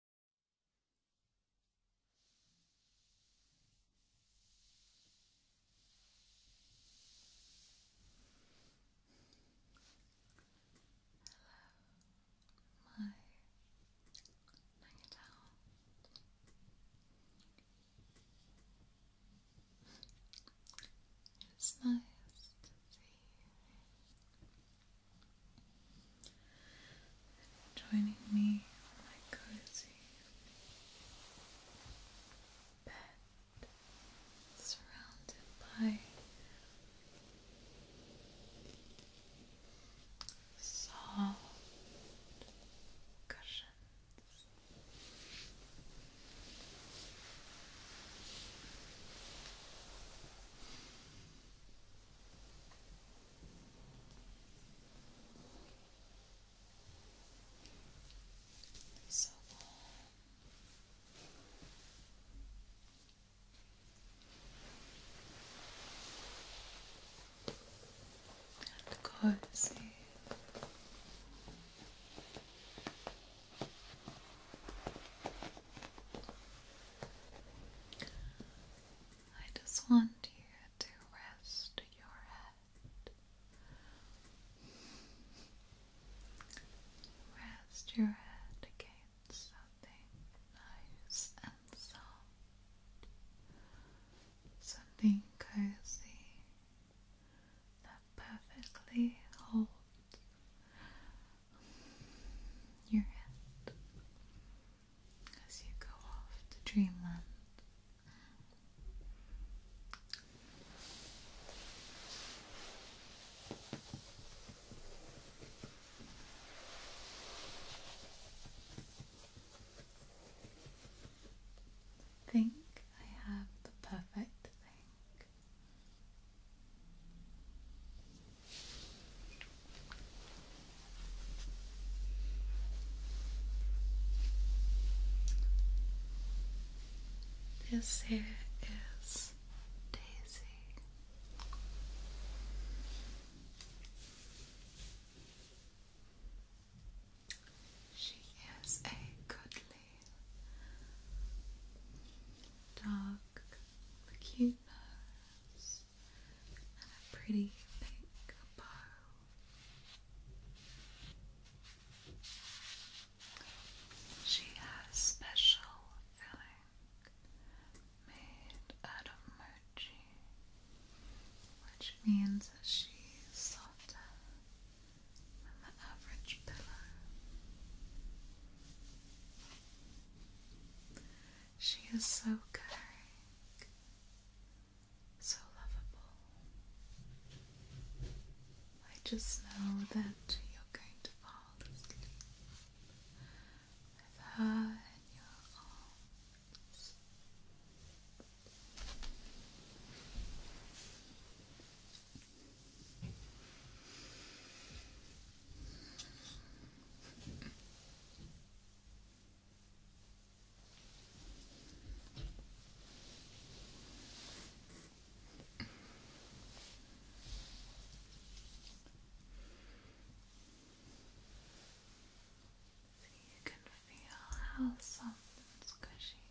my hang it's nice to see you Joining me on my cozy bed, surrounded by soft cushions. So warm. cozy. I just want you to rest your head. Rest your head against something nice and soft, something cozy that perfectly holds your head as you go off to dreamland. Think I have the perfect thing this here is Daisy. She is a goodly dog, cute nose and a pretty pink bow. She has special filling made out of mochi, which means that she's softer than the average pillow. She is so caring, so lovable. I just know that you're going to fall asleep with her in your arms. So you can feel how soft and squishy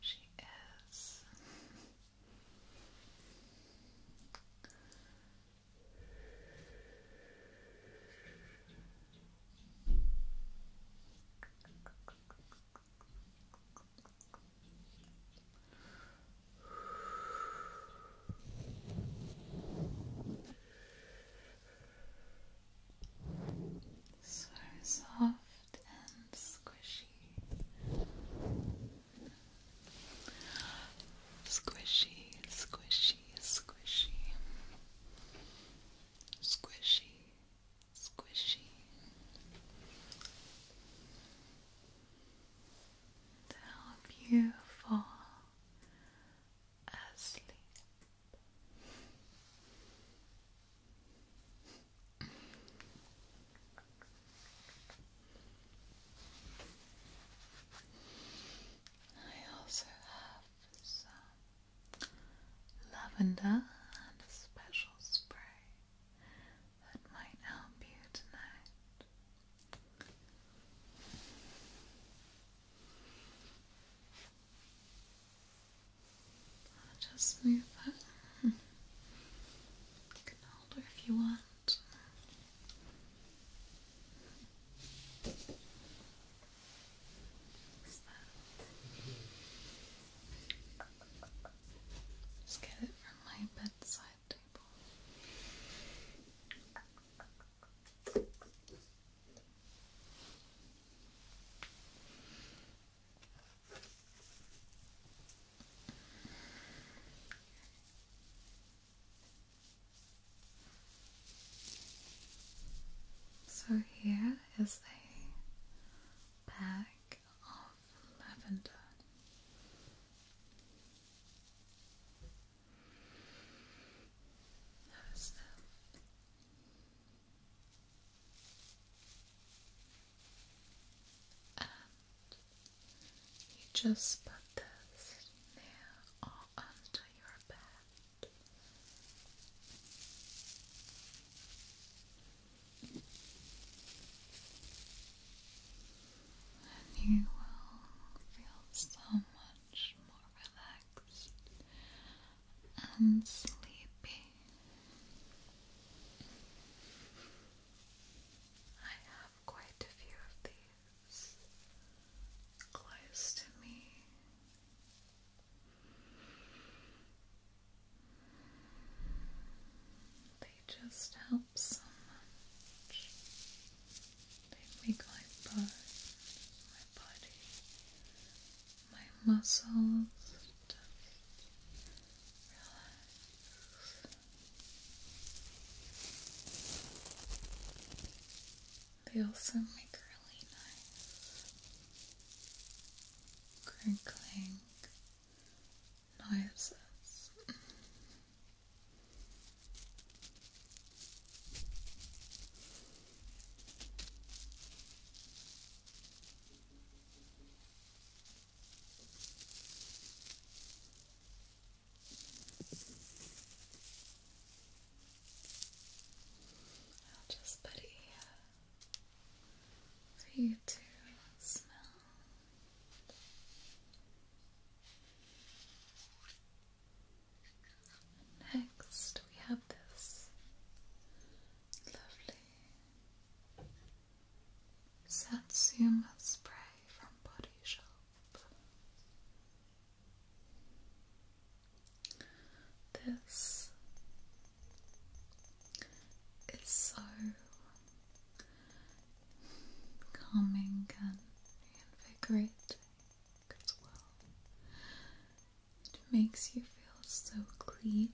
she is. So soft and squishy. Squishy, squishy, squishy. Squishy, squishy. To help you fall asleep. I also have some lavender and a special spray that might help you tonight just move that. You can hold her if you want. Just get it from my bedside table. So here is a bag of lavender and you just put this there or under your bed. And you will feel so much more relaxed and sleepy. I have quite a few of these close to me. They just help so much. They make my bone, my body my muscles They also make really nice crinkling noises. I'll just put it here for you to smell. Next, we have this lovely Satsuma spray from Body Shop. This is so calming and invigorating. It makes you feel so clean.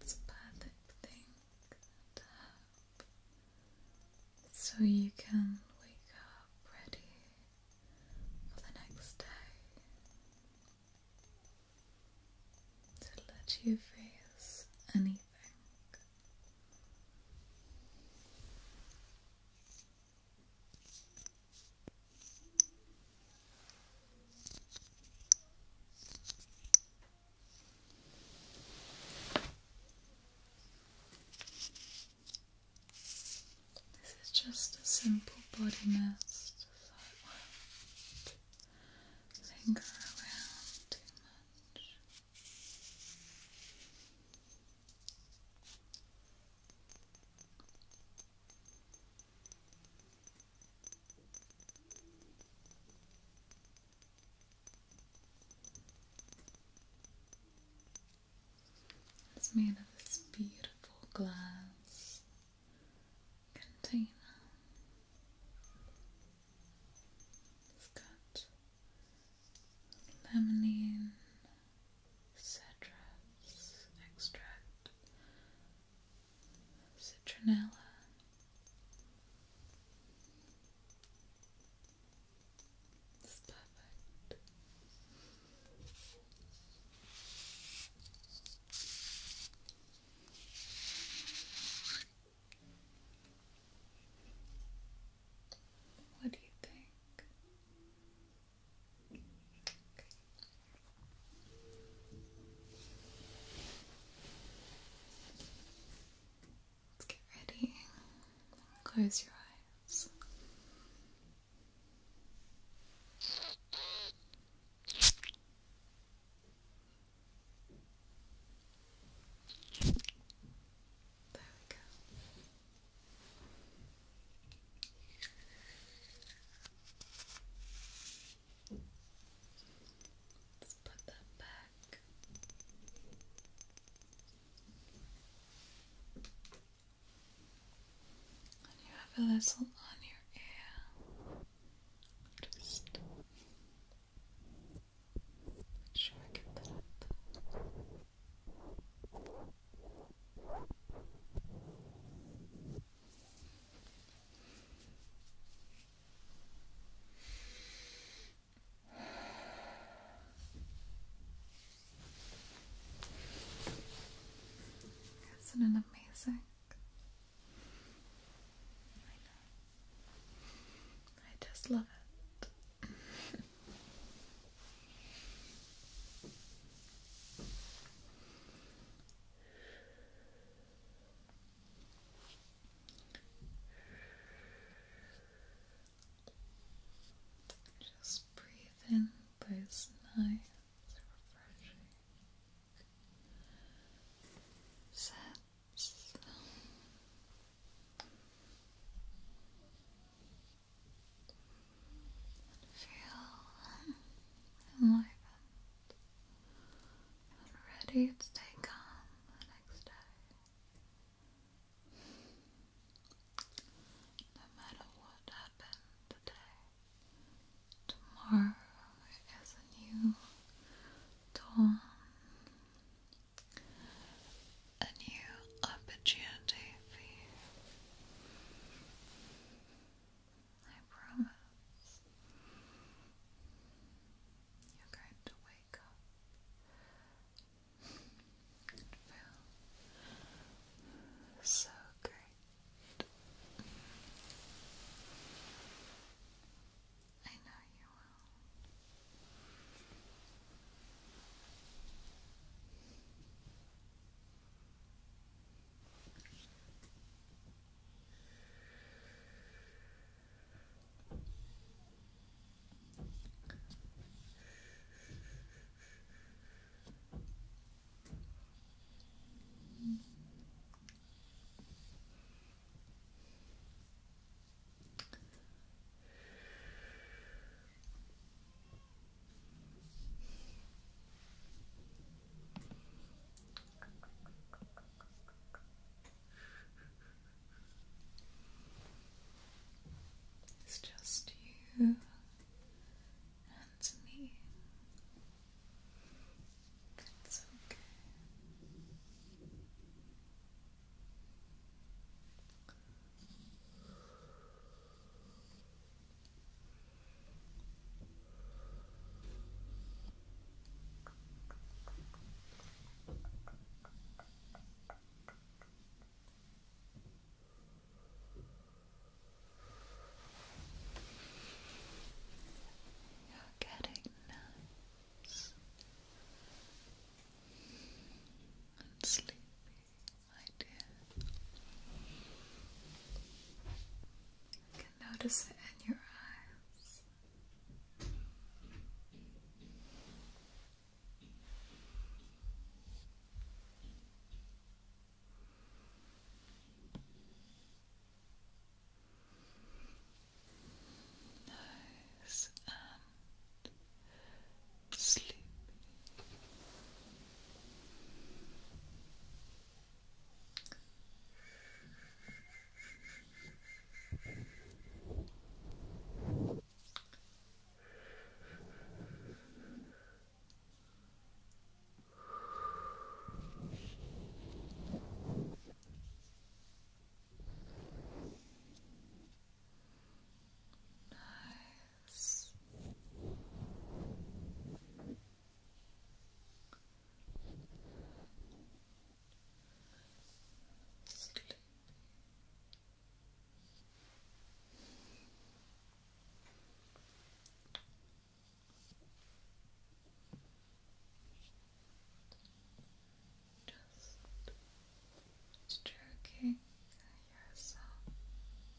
It's a perfect thing to have. So you can wake up ready for the next day. To let you face anything this is just a simple body mist, so not linger around too much. It's made of this beautiful glass container. We've got lemonine, citrus extract, citronella. It's perfect. What do you think? Let's get ready. Close your eyes. There we go. Let's put that back. you have a little on your ear. Just Make sure I get that Isn't it amazing? I just love it. Just breathe in those nice, refreshing scents. So. Feel enlivened ready to take on the next day. No matter what happened today, tomorrow is a new dawn a new opportunity for you. I promise you're going to wake up and feel so great. I know you will. It's just you and me. That's You're getting and sleepy, my dear. You can notice it in your eyes. Nice and sleepy. Nice. Sleepy. Just stroking your soft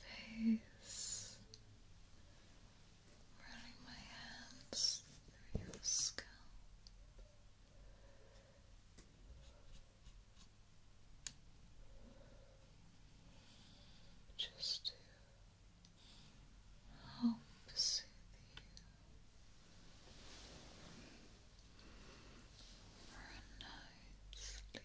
face, running my hands through your scalp. Just to help soothe you for a night's sleep.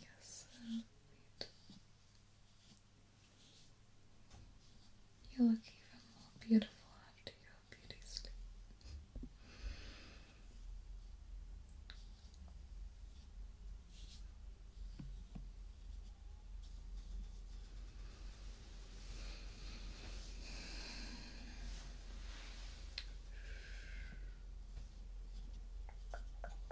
Yes. You look even more beautiful after your beauty sleep.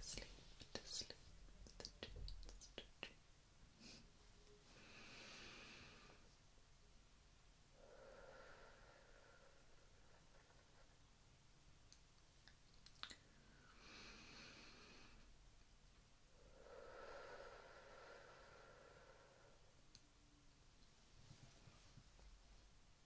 Sleep to sleep, the dreams to dream. Good.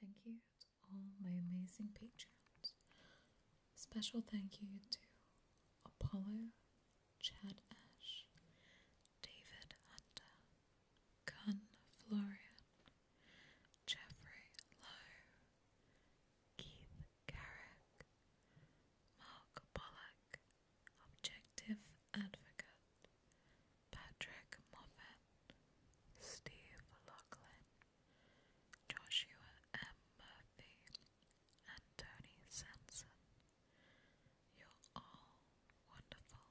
Thank you to all my amazing patrons. Special thank you to Apollo, Chad Ash, David Hunter, Gunn Florian, Jeffrey Lowe, Keith Carrick, Mark Pollack, Objective Advocate, Patrick Moffat, Steve Lachlan, Joshua M. Murphy, and Tony Sanson. You're all wonderful.